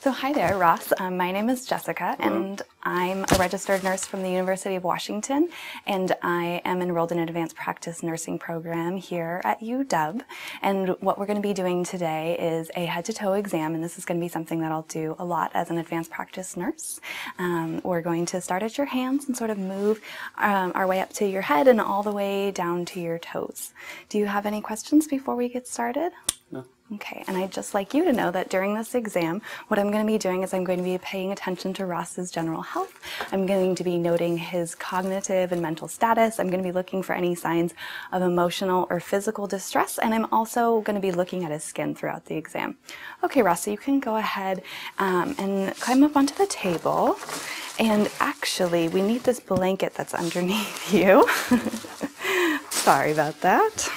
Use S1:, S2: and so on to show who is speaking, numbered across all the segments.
S1: So hi there, Ross. Um, my name is Jessica, and I'm a registered nurse from the University of Washington, and I am enrolled in an advanced practice nursing program here at UW. And what we're going to be doing today is a head-to-toe exam, and this is going to be something that I'll do a lot as an advanced practice nurse. Um, we're going to start at your hands and sort of move um, our way up to your head and all the way down to your toes. Do you have any questions before we get started? No. Okay, and I'd just like you to know that during this exam, what I'm going to be doing is I'm going to be paying attention to Ross's general health. I'm going to be noting his cognitive and mental status. I'm going to be looking for any signs of emotional or physical distress, and I'm also going to be looking at his skin throughout the exam. Okay, Ross, you can go ahead um, and climb up onto the table. And actually, we need this blanket that's underneath you. Sorry about that.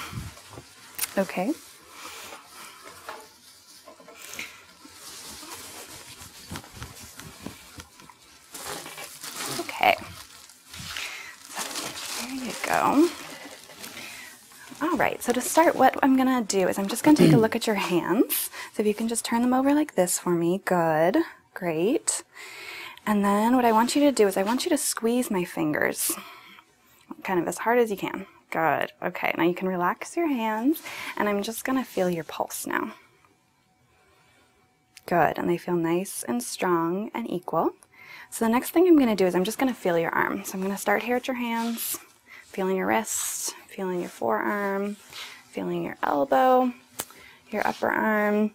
S1: Okay. Okay. there you go. All right, so to start, what I'm gonna do is I'm just gonna take a look at your hands so if you can just turn them over like this for me, good, great. And then what I want you to do is I want you to squeeze my fingers kind of as hard as you can. Good. Okay, now you can relax your hands, and I'm just going to feel your pulse now. Good, and they feel nice and strong and equal. So the next thing I'm going to do is I'm just going to feel your arm. So I'm going to start here at your hands feeling your wrist, feeling your forearm, feeling your elbow, your upper arm.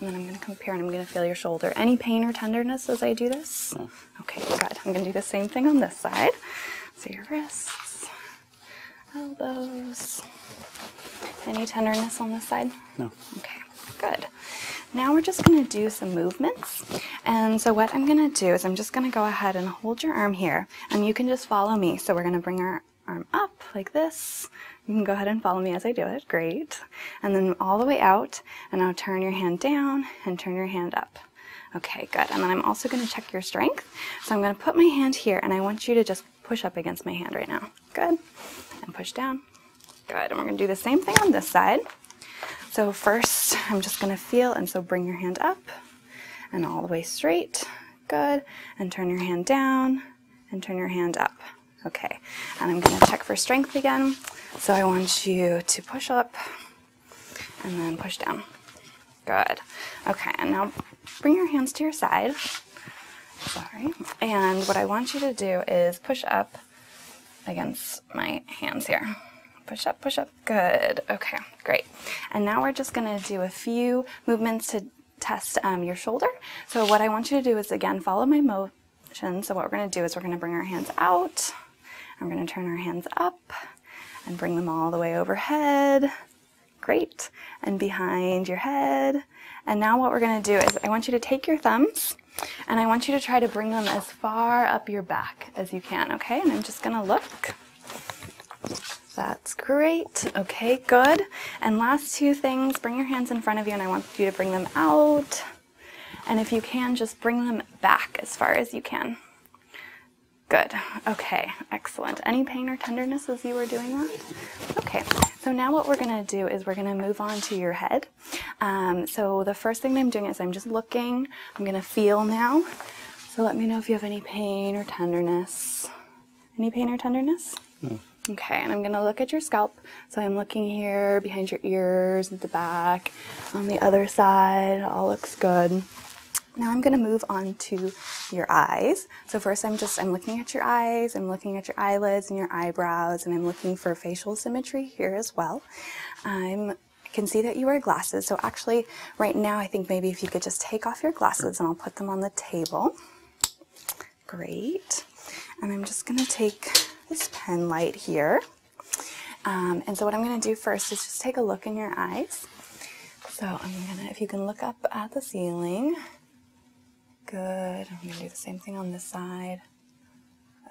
S1: And then I'm going to compare and I'm going to feel your shoulder. Any pain or tenderness as I do this? Okay, good. I'm going to do the same thing on this side. So your wrists, elbows. Any tenderness on this side? No. Okay, good. Now we're just going to do some movements. And so what I'm going to do is I'm just going to go ahead and hold your arm here. And you can just follow me. So we're going to bring our arm up like this. You can go ahead and follow me as I do it. Great. And then all the way out. And now turn your hand down and turn your hand up. Okay, good. And then I'm also going to check your strength. So I'm going to put my hand here and I want you to just push up against my hand right now. Good. And push down. Good. And we're going to do the same thing on this side. So first, I'm just going to feel, and so bring your hand up and all the way straight. Good. And turn your hand down and turn your hand up. Okay. And I'm going to check for strength again. So I want you to push up and then push down. Good. Okay. And now bring your hands to your side. Sorry. And what I want you to do is push up against my hands here. Push up, push up, Good, okay, great. And now we're just gonna do a few movements to test um, your shoulder. So what I want you to do is again, follow my motion. So what we're gonna do is we're gonna bring our hands out. I'm gonna turn our hands up and bring them all the way overhead. Great, and behind your head. And now what we're gonna do is I want you to take your thumbs and I want you to try to bring them as far up your back as you can, okay? And I'm just gonna look. That's great. Okay, good. And last two things, bring your hands in front of you and I want you to bring them out. And if you can, just bring them back as far as you can. Good. Okay, excellent. Any pain or tenderness as you are doing that? Okay, so now what we're going to do is we're going to move on to your head. Um, so the first thing I'm doing is I'm just looking. I'm going to feel now. So let me know if you have any pain or tenderness. Any pain or tenderness? No. Okay, and I'm going to look at your scalp. So I'm looking here behind your ears, at the back, on the other side. all looks good. Now I'm going to move on to your eyes. So first I'm just I'm looking at your eyes, I'm looking at your eyelids and your eyebrows and I'm looking for facial symmetry here as well. I'm I can see that you wear glasses. So actually Right now, I think maybe if you could just take off your glasses and I'll put them on the table. Great. And I'm just going to take this pen light here. Um, and so what I'm going to do first is just take a look in your eyes. So I'm going to, if you can look up at the ceiling. Good. I'm going to do the same thing on this side.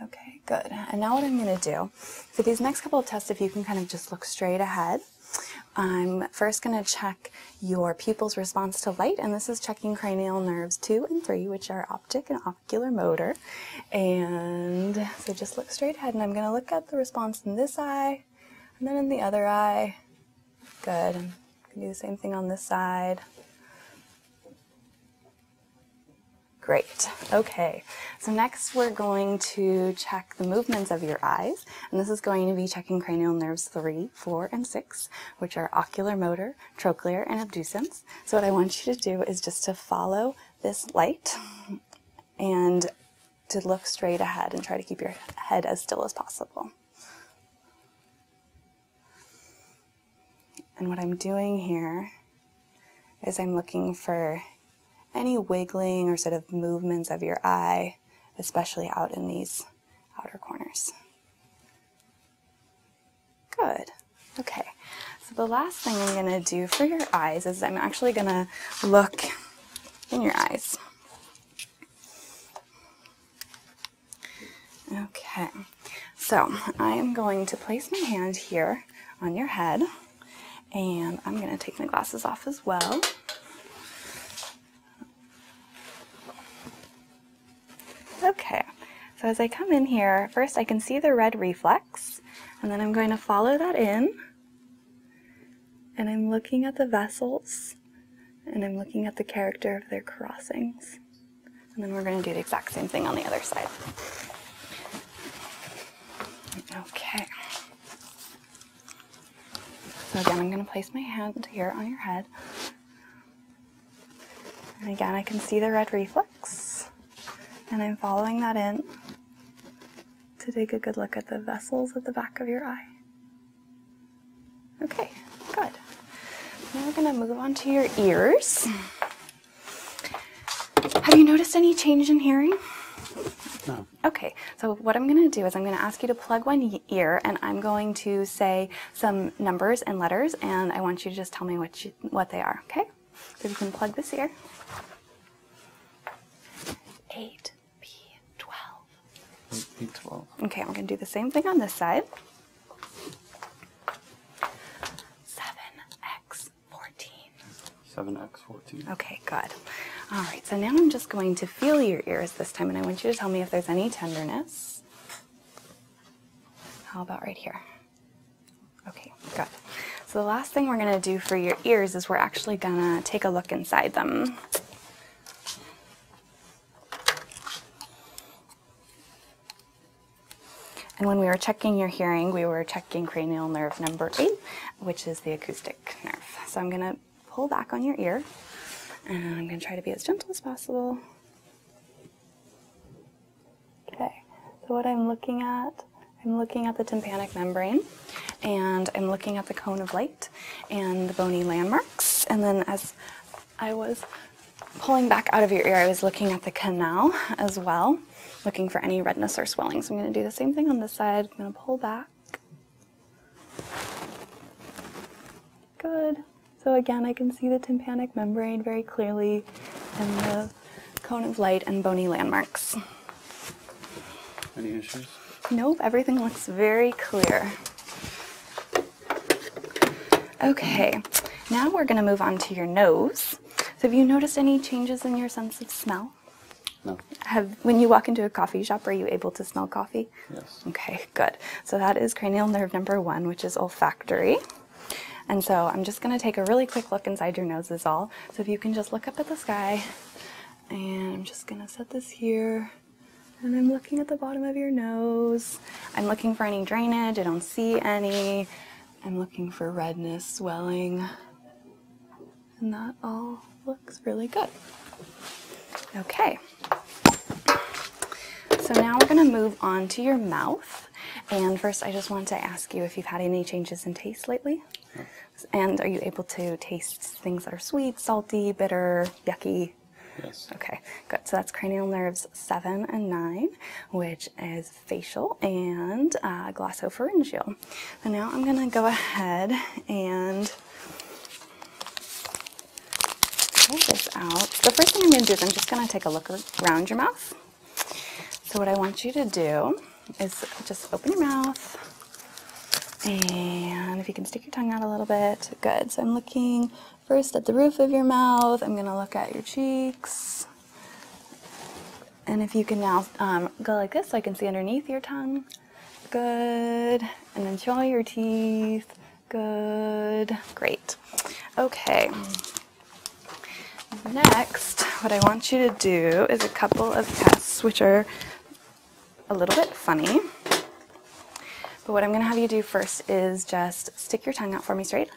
S1: Okay, good. And now what I'm going to do, for these next couple of tests, if you can kind of just look straight ahead, I'm first going to check your pupil's response to light, and this is checking cranial nerves 2 and 3, which are optic and ocular motor. And so just look straight ahead, and I'm going to look at the response in this eye and then in the other eye. Good. And do the same thing on this side. Great. Okay. So next we're going to check the movements of your eyes. And this is going to be checking cranial nerves 3, 4, and 6, which are ocular motor, trochlear, and abducens. So what I want you to do is just to follow this light and to look straight ahead and try to keep your head as still as possible. And what I'm doing here is I'm looking for any wiggling or sort of movements of your eye, especially out in these outer corners. Good. Okay. So the last thing I'm going to do for your eyes is I'm actually going to look in your eyes. Okay. So I am going to place my hand here on your head and I'm going to take my glasses off as well. Okay, so as I come in here, first I can see the red reflex, and then I'm going to follow that in, and I'm looking at the vessels, and I'm looking at the character of their crossings. And then we're going to do the exact same thing on the other side. Okay. So again, I'm going to place my hand here on your head. And again, I can see the red reflex. And I'm following that in to take a good look at the vessels at the back of your eye. Okay, good. Now we're going to move on to your ears. Have you noticed any change in hearing? No. Okay, so what I'm going to do is I'm going to ask you to plug one ear and I'm going to say some numbers and letters and I want you to just tell me what, you, what they are, okay? So you can plug this ear. 8, B, 12. 8, B, 12. Okay, I'm going to do the same thing on this side. 7, X, 14. 7, X, Okay, good. All right, so now I'm just going to feel your ears this time, and I want you to tell me if there's any tenderness. How about right here? Okay, good. So the last thing we're going to do for your ears is we're actually going to take a look inside them. And when we were checking your hearing, we were checking cranial nerve number 8, which is the acoustic nerve. So I'm going to pull back on your ear and I'm gonna try to be as gentle as possible. Okay, so what I'm looking at, I'm looking at the tympanic membrane and I'm looking at the cone of light and the bony landmarks. And then as I was pulling back out of your ear, I was looking at the canal as well, looking for any redness or swelling. So I'm gonna do the same thing on this side. I'm gonna pull back Good. So again, I can see the tympanic membrane very clearly and the cone of light and bony landmarks. Any issues? Nope, everything looks very clear. Okay, now we're going to move on to your nose. So have you noticed any changes in your sense of smell? Have, when you walk into a coffee shop, are you able to smell coffee? Yes. Okay, good. So that is cranial nerve number one, which is olfactory. And so I'm just going to take a really quick look inside your nose as all. So if you can just look up at the sky, and I'm just going to set this here. And I'm looking at the bottom of your nose. I'm looking for any drainage. I don't see any. I'm looking for redness, swelling. And that all looks really good. Okay. So now we're going to move on to your mouth. And first, I just want to ask you if you've had any changes in taste lately. And are you able to taste things that are sweet, salty, bitter, yucky? Yes. Okay, good. So that's cranial nerves 7 and 9, which is facial and uh, glossopharyngeal. And now I'm going to go ahead and Take this out. The first thing I'm going to do is I'm just going to take a look around your mouth. So what I want you to do is just open your mouth. And if you can stick your tongue out a little bit, good. So I'm looking first at the roof of your mouth. I'm going to look at your cheeks. And if you can now um, go like this so I can see underneath your tongue. Good. And then jaw your teeth. Good. Great. Okay. Next, what I want you to do is a couple of tests which are a little bit funny. But what I'm going to have you do first is just stick your tongue out for me straight.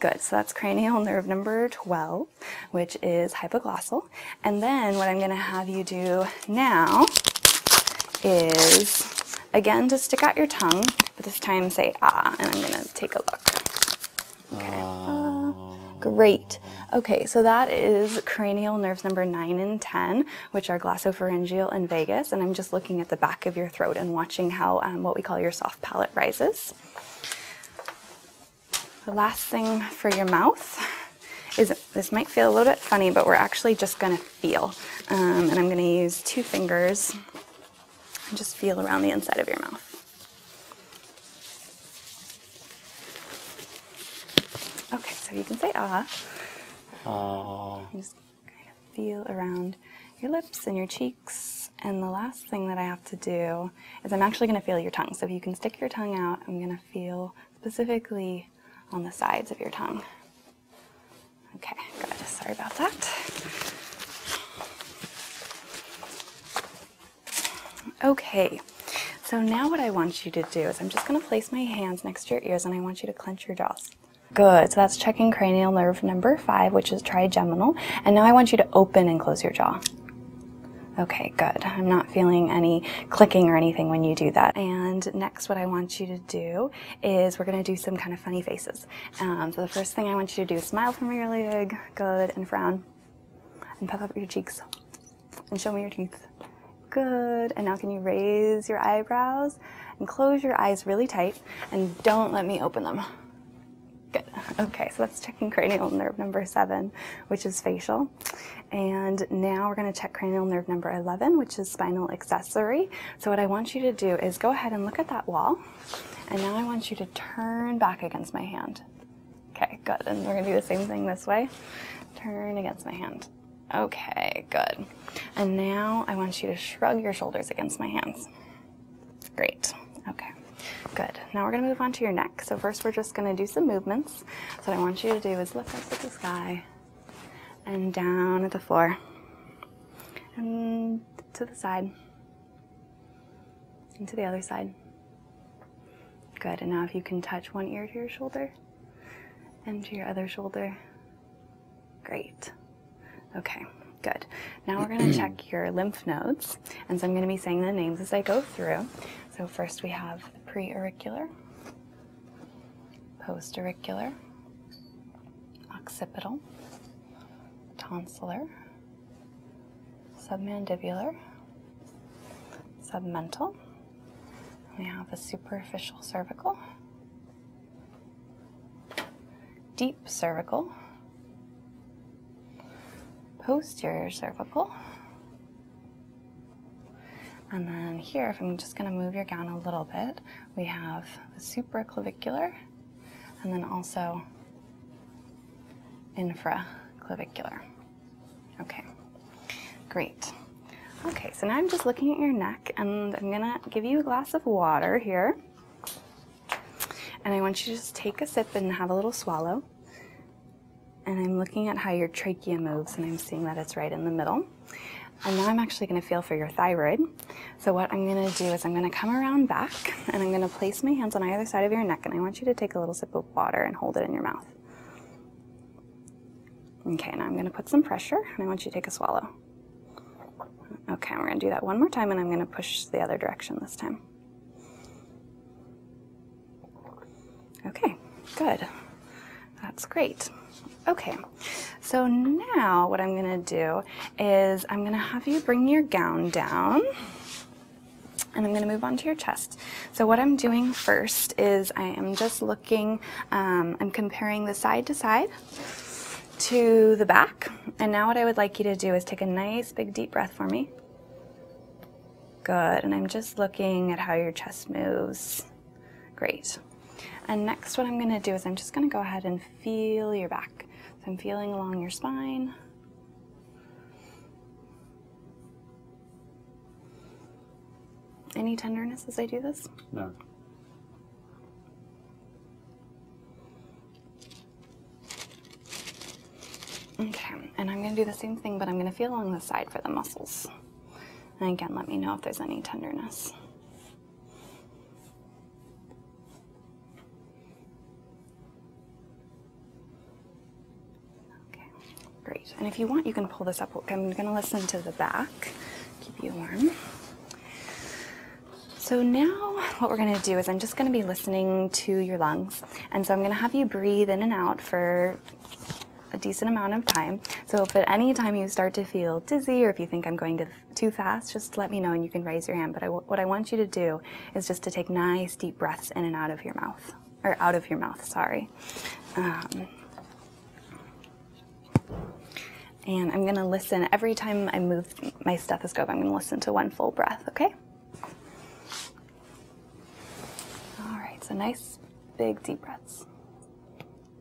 S1: Good. So that's cranial nerve number 12, which is hypoglossal. And then what I'm going to have you do now is, again, to stick out your tongue, but this time say ah, and I'm going to take a look. Okay. Ah, great. Okay, so that is cranial nerves number 9 and 10, which are glossopharyngeal and vagus. And I'm just looking at the back of your throat and watching how um, what we call your soft palate rises. The last thing for your mouth is, this might feel a little bit funny, but we're actually just gonna feel. Um, and I'm gonna use two fingers and just feel around the inside of your mouth. Okay, so you can say ah. Oh. Just kind of feel around your lips and your cheeks. And the last thing that I have to do is I'm actually gonna feel your tongue. So if you can stick your tongue out, I'm gonna feel specifically on the sides of your tongue. Okay, good. Sorry about that. Okay, so now what I want you to do is I'm just going to place my hands next to your ears and I want you to clench your jaws. Good, so that's checking cranial nerve number five, which is trigeminal. And now I want you to open and close your jaw. Okay, good. I'm not feeling any clicking or anything when you do that. And next, what I want you to do is we're gonna do some kind of funny faces. Um, so the first thing I want you to do is smile from your leg, good, and frown, and puff up your cheeks, and show me your teeth. Good, and now can you raise your eyebrows and close your eyes really tight and don't let me open them. Good. Okay, so that's checking cranial nerve number seven, which is facial. And now we're going to check cranial nerve number 11, which is spinal accessory. So, what I want you to do is go ahead and look at that wall. And now I want you to turn back against my hand. Okay, good. And we're going to do the same thing this way. Turn against my hand. Okay, good. And now I want you to shrug your shoulders against my hands. Great. Okay, good. Now we're going to move on to your neck. So, first, we're just going to do some movements. So, what I want you to do is look up at the sky and down at the floor and to the side and to the other side. Good, and now if you can touch one ear to your shoulder and to your other shoulder, great. Okay, good. Now we're going to check your lymph nodes, and so I'm going to be saying the names as I go through. So, first we have the preauricular, post-auricular, occipital, tonsillar, submandibular, submental. We have a superficial cervical, deep cervical, posterior cervical, and then here, if I'm just going to move your gown a little bit, we have the supraclavicular and then also infraclavicular. Okay, great. Okay, so now I'm just looking at your neck and I'm gonna give you a glass of water here. And I want you to just take a sip and have a little swallow. And I'm looking at how your trachea moves and I'm seeing that it's right in the middle. And now I'm actually going to feel for your thyroid. So what I'm going to do is I'm going to come around back and I'm going to place my hands on either side of your neck and I want you to take a little sip of water and hold it in your mouth. Okay, now I'm going to put some pressure and I want you to take a swallow. Okay, we're going to do that one more time and I'm going to push the other direction this time. Okay, good. That's great. Okay, so now what I'm gonna do is I'm gonna have you bring your gown down and I'm gonna move on to your chest. So what I'm doing first is I am just looking, um, I'm comparing the side to side to the back. And now what I would like you to do is take a nice big deep breath for me. Good, and I'm just looking at how your chest moves. Great. And next, what I'm going to do is I'm just going to go ahead and feel your back. So I'm feeling along your spine. Any tenderness as I do this? No. Okay, and I'm going to do the same thing, but I'm going to feel along the side for the muscles. And again, let me know if there's any tenderness. Okay, great. And if you want, you can pull this up. I'm going to listen to the back, keep you warm. So now what we're going to do is I'm just going to be listening to your lungs. And so I'm going to have you breathe in and out for a decent amount of time. So if at any time you start to feel dizzy or if you think I'm going too fast, just let me know and you can raise your hand. But what I want you to do is just to take nice deep breaths in and out of your mouth, or out of your mouth, sorry. Um, and I'm gonna listen every time I move my stethoscope, I'm gonna listen to one full breath, okay? All right, so nice big deep breaths.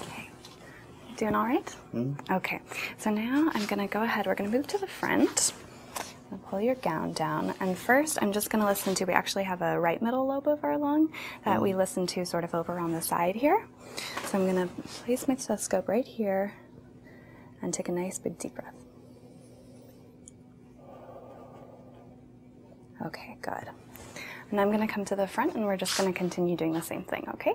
S1: Okay. Doing all right? -hmm. Okay. So now I'm going to go ahead. We're going to move to the front. Pull your gown down. And first, I'm just going to listen to. We actually have a right middle lobe of our lung that we hmm. listen to sort of over on the side here. So I'm going to place my stethoscope right here and take a nice big deep breath. Okay, good. And I'm going to come to the front and we're just going to continue doing the same thing, okay?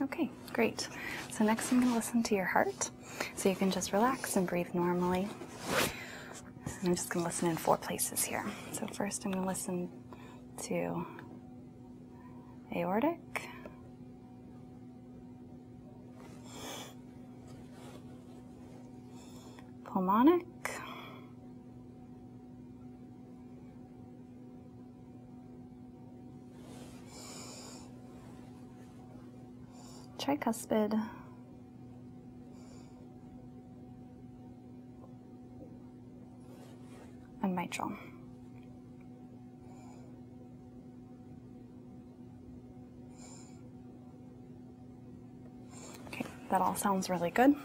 S1: Okay, great. So next I'm going to listen to your heart. So you can just relax and breathe normally. I'm just going to listen in four places here. So first I'm going to listen to aortic. Pulmonic tricuspid. And mitral. Okay, that all sounds really good.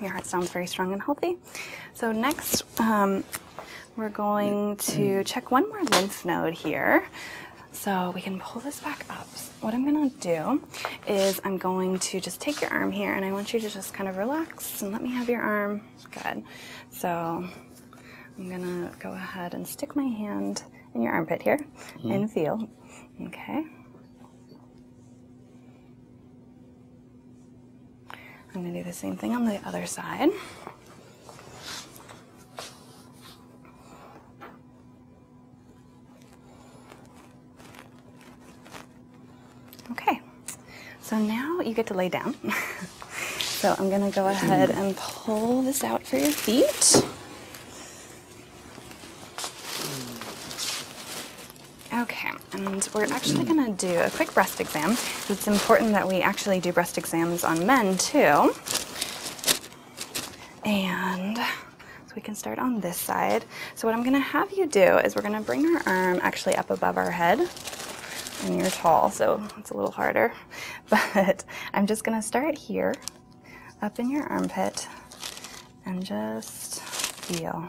S1: Your heart sounds very strong and healthy. So next, um, we're going to check one more lymph node here. So we can pull this back up. what I'm gonna do is I'm going to just take your arm here and I want you to just kind of relax and let me have your arm. Good. So I'm gonna go ahead and stick my hand in your armpit here mm-hmm. and feel. Okay. I'm going to do the same thing on the other side. Okay, so now you get to lay down. so I'm going to go ahead mm. and pull this out for your feet. Okay, and we're actually mm. going to do a quick breast exam. It's important that we actually do breast exams on men too. And so we can start on this side. So what I'm gonna have you do is we're gonna bring our arm actually up above our head
S2: and you're tall,
S1: so it's a little harder. But I'm just gonna start here, up in your armpit, and just feel.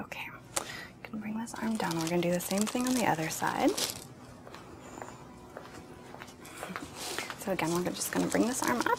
S1: Okay, I'm gonna bring this arm down. We're gonna do the same thing on the other side. So again, we're just gonna bring this arm up.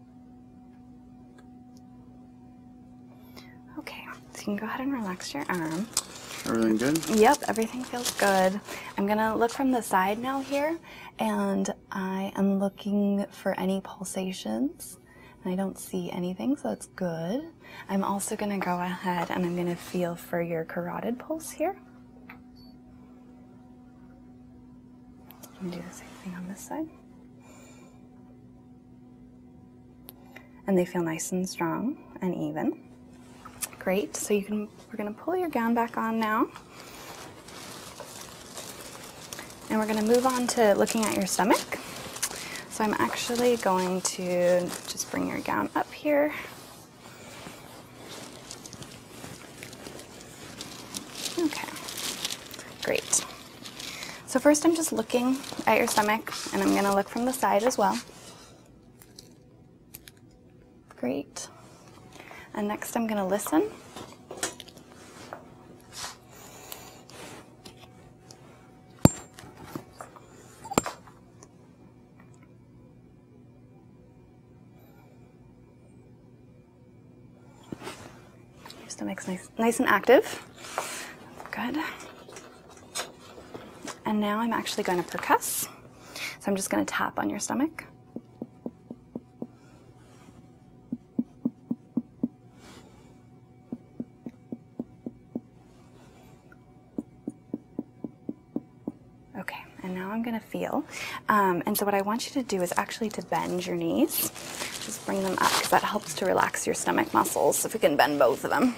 S1: Okay, so you can go ahead and relax your arm. Everything good? Yep, everything feels good. I'm gonna look from the side now here, and I am looking for any pulsations. I don't see anything, so that's good. I'm also gonna go ahead and I'm gonna feel for your carotid pulse here. And do the same thing on this side. And they feel nice and strong and even. Great. So you can we're gonna pull your gown back on now. And we're gonna move on to looking at your stomach. So I'm actually going to just bring your gown up here. Okay, great. So first I'm just looking at your stomach and I'm gonna look from the side as well. Great. And next I'm gonna listen. Your stomach's nice, nice and active. Good. And now I'm actually going to percuss. So I'm just going to tap on your stomach. Okay, and now I'm going to feel. Um, and so what I want you to do is actually to bend your knees bring them up because that helps to relax your stomach muscles. If we can bend both of them.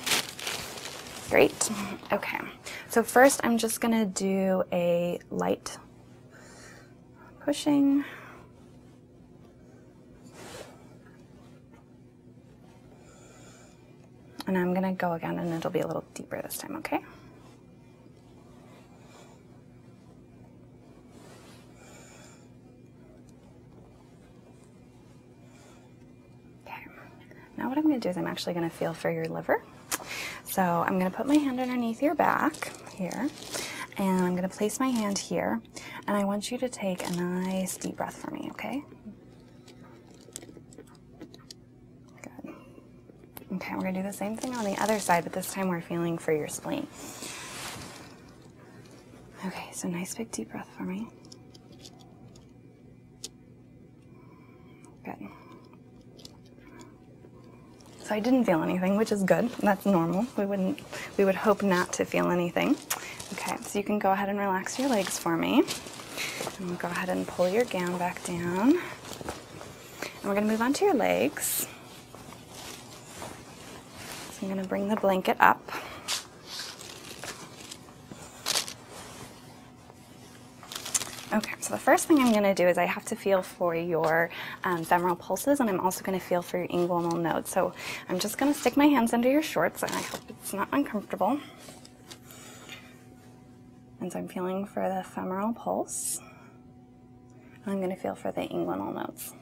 S1: Great. Okay. So first I'm just going to do a light pushing. And I'm going to go again and it'll be a little deeper this time, okay? Okay, now what I'm going to do is I'm actually going to feel for your liver. So I'm going to put my hand underneath your back here, and I'm going to place my hand here, and I want you to take a nice deep breath for me, okay? Good. Okay, we're going to do the same thing on the other side, but this time we're feeling for your spleen. Okay, so nice big deep breath for me. Good. So I didn't feel anything, which is good. That's normal. We wouldn't we would hope not to feel anything. Okay, so you can go ahead and relax your legs for me. And go ahead and pull your gown back down. And we're gonna move on to your legs. So I'm going to bring the blanket up. Okay, so the first thing I'm going to do is I have to feel for your um, femoral pulses and I'm also going to feel for your inguinal nodes. So I'm just going to stick my hands under your shorts and I hope it's not uncomfortable. And so I'm feeling for the femoral pulse. I'm going to feel for the inguinal nodes.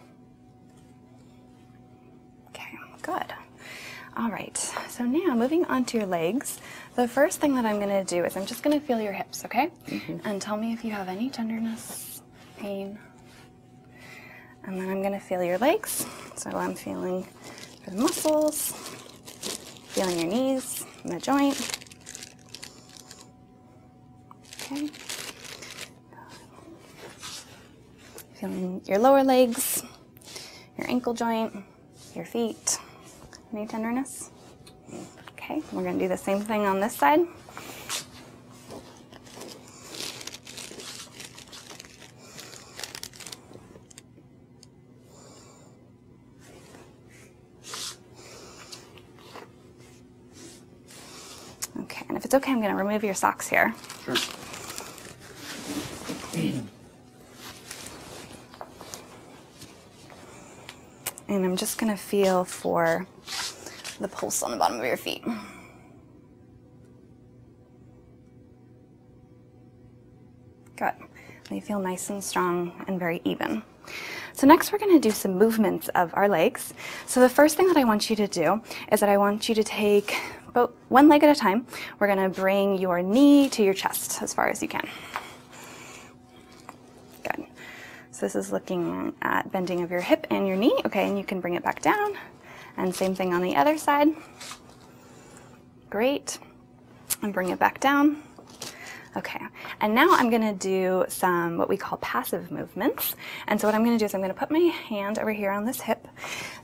S1: Okay, good. All right, so now moving on to your legs. The first thing that I'm gonna do is I'm just gonna feel your hips, okay? Mm-hmm. And tell me if you have any tenderness, pain. And then I'm gonna feel your legs. So I'm feeling the muscles, feeling your knees and the joint. Okay. Feeling your lower legs, your ankle joint, your feet. Any tenderness? Okay, we're going to do the same thing on this side. Okay, and if it's okay, I'm going to remove your socks here. Sure. And I'm just going to feel for the pulse on the bottom of your feet. Good. They feel nice and strong and very even. So next we're going to do some movements of our legs. So the first thing that I want you to do is that I want you to take both one leg at a time. We're going to bring your knee to your chest as far as you can. Good. So this is looking at bending of your hip and your knee. Okay, and you can bring it back down. And same thing on the other side. Great. And bring it back down. Okay, and now I'm gonna do some what we call passive movements. And so what I'm going to do is I'm going to put my hand over here on this hip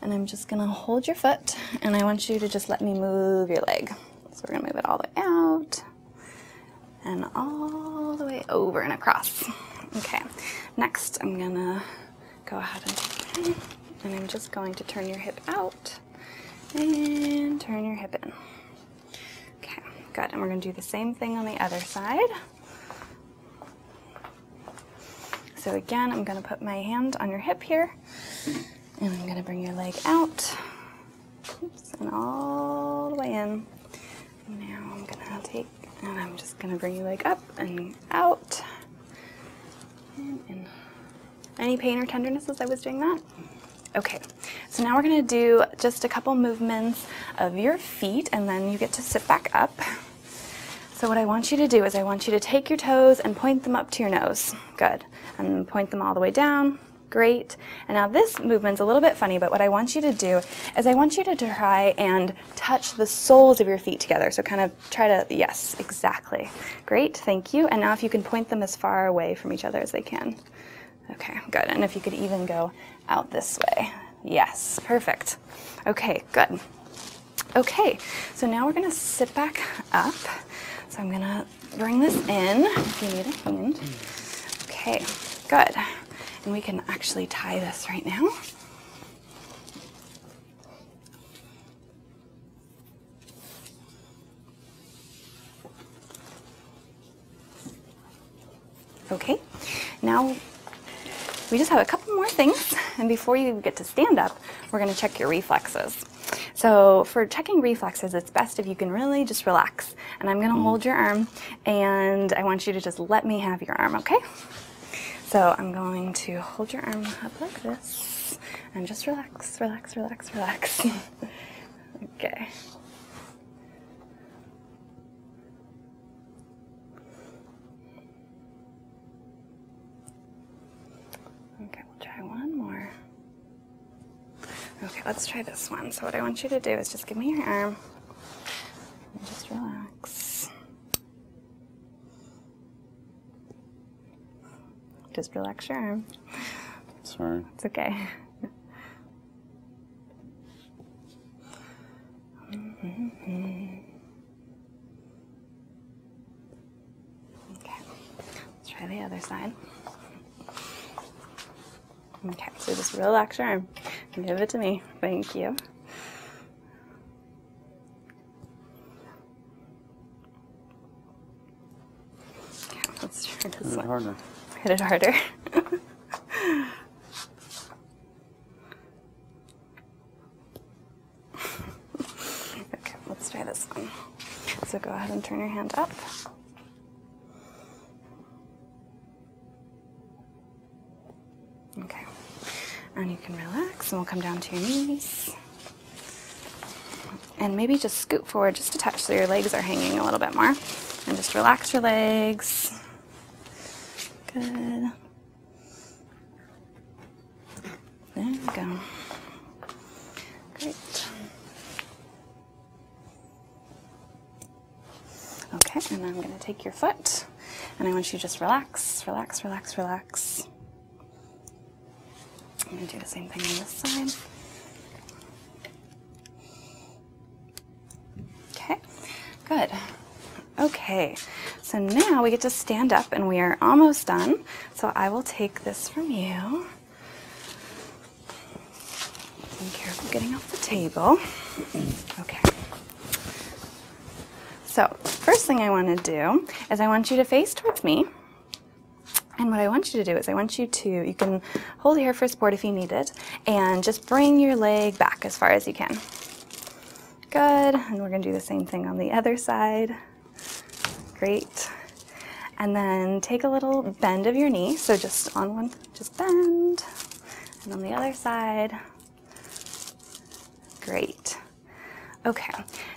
S1: and I'm just going to hold your foot and I want you to just let me move your leg. So we're going to move it all the way out and all the way over and across. Okay, next I'm going to go ahead and, and I'm just going to turn your hip out and turn your hip in. Okay, good. And we're going to do the same thing on the other side. So again, I'm gonna put my hand on your hip here and I'm gonna bring your leg out and all the way in. Now I'm gonna take and I'm just gonna bring your leg up and out. any pain or tenderness as I was doing that? Okay, so now we're gonna do just a couple movements of your feet and then you get to sit back up. So what I want you to do is I want you to take your toes and point them up to your nose. Good. And point them all the way down. Great. And now this movement's a little bit funny, but what I want you to do is I want you to try and touch the soles of your feet together. So kind of try to, yes, exactly. Great, thank you. And now if you can point them as far away from each other as they can. Okay, good. And if you could even go out this way. Yes, perfect. Okay, good. Okay, so now we're gonna sit back up. So I'm gonna bring this in Okay, good. And we can actually tie this right now. Okay, now we just have a couple more things, and before you get to stand up, we're going to check your reflexes. So for checking reflexes, it's best if you can really just relax. And I'm going to mm-hmm. hold your arm, and I want you to just let me have your arm, okay? So I'm going to hold your arm up like this, and just relax, relax, relax, relax. okay. Okay, we'll try one more. Okay, let's try this one. So what I want you to do is just give me your arm and just relax. Just relax your arm. Sorry. It's okay. Okay, let's try the other side. Okay, so this real your arm give it to me. Thank you. Hit one. Harder. Hit it harder. okay, let's try this one. So go ahead and turn your hand up. Okay, and you can relax, and we'll come down to your knees. And maybe just scoot forward just a touch so your legs are hanging a little bit more. And just relax your legs. Good. There we go. Great. Okay, and I'm going to take your foot and I want you to just relax, relax, relax, relax. I'm going to do the same thing on this side. Okay, good. Okay, so now we get to stand up and we are almost done. So I will take this from you. Be careful getting off the table. Okay. So, first thing I want to do is I want you to face towards me. And what I want you to do is I want you to, you can hold here for support if you need it, and just bring your leg back as far as you can. Good, and we're gonna do the same thing on the other side. Great. And then take a little bend of your knee. So just on one, just bend. And on the other side. Great. Okay,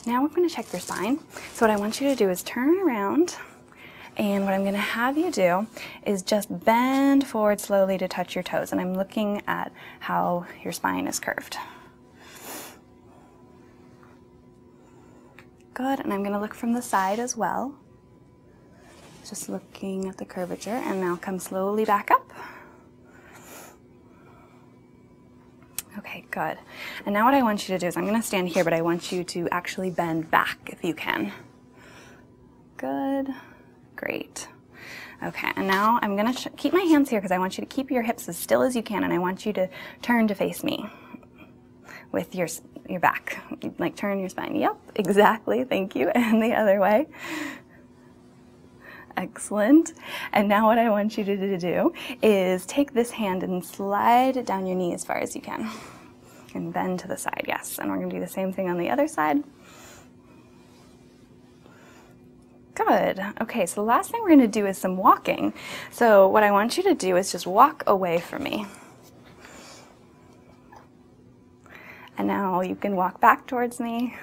S1: now we're gonna check your spine. So what I want you to do is turn around and what I'm gonna have you do is just bend forward slowly to touch your toes. And I'm looking at how your spine is curved. Good, and I'm gonna look from the side as well. Just looking at the curvature, and now come slowly back up. Okay, good. And now what I want you to do is I'm gonna stand here, but I want you to actually bend back if you can. Good. Great. Okay, and now I'm going to keep my hands here because I want you to keep your hips as still as you can, and I want you to turn to face me with your, your back. Like turn your spine. Yep, exactly. Thank you. And the other way. Excellent. And now what I want you to do is take this hand and slide it down your knee as far as you can. And bend to the side, yes. And we're going to do the same thing on the other side. Good. Okay, so the last thing we're going to do is some walking. So what I want you to do is just walk away from me. And now you can walk back towards me.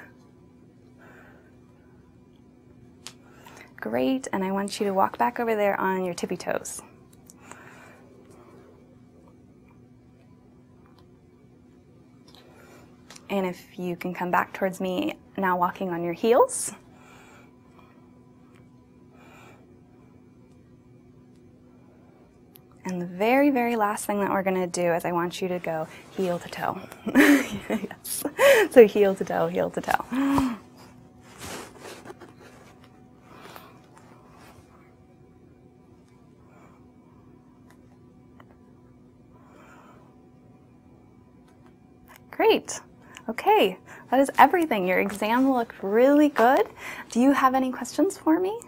S1: Great, and I want you to walk back over there on your tippy toes. And if you can come back towards me, now walking on your heels. And the very, very last thing that we're going to do is I want you to go heel to toe. So heel to toe, heel to toe. Great. Okay, that is everything. Your exam looked really good. Do you have any questions for me?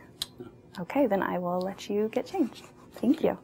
S1: Okay, then I will let you get changed. Thank you.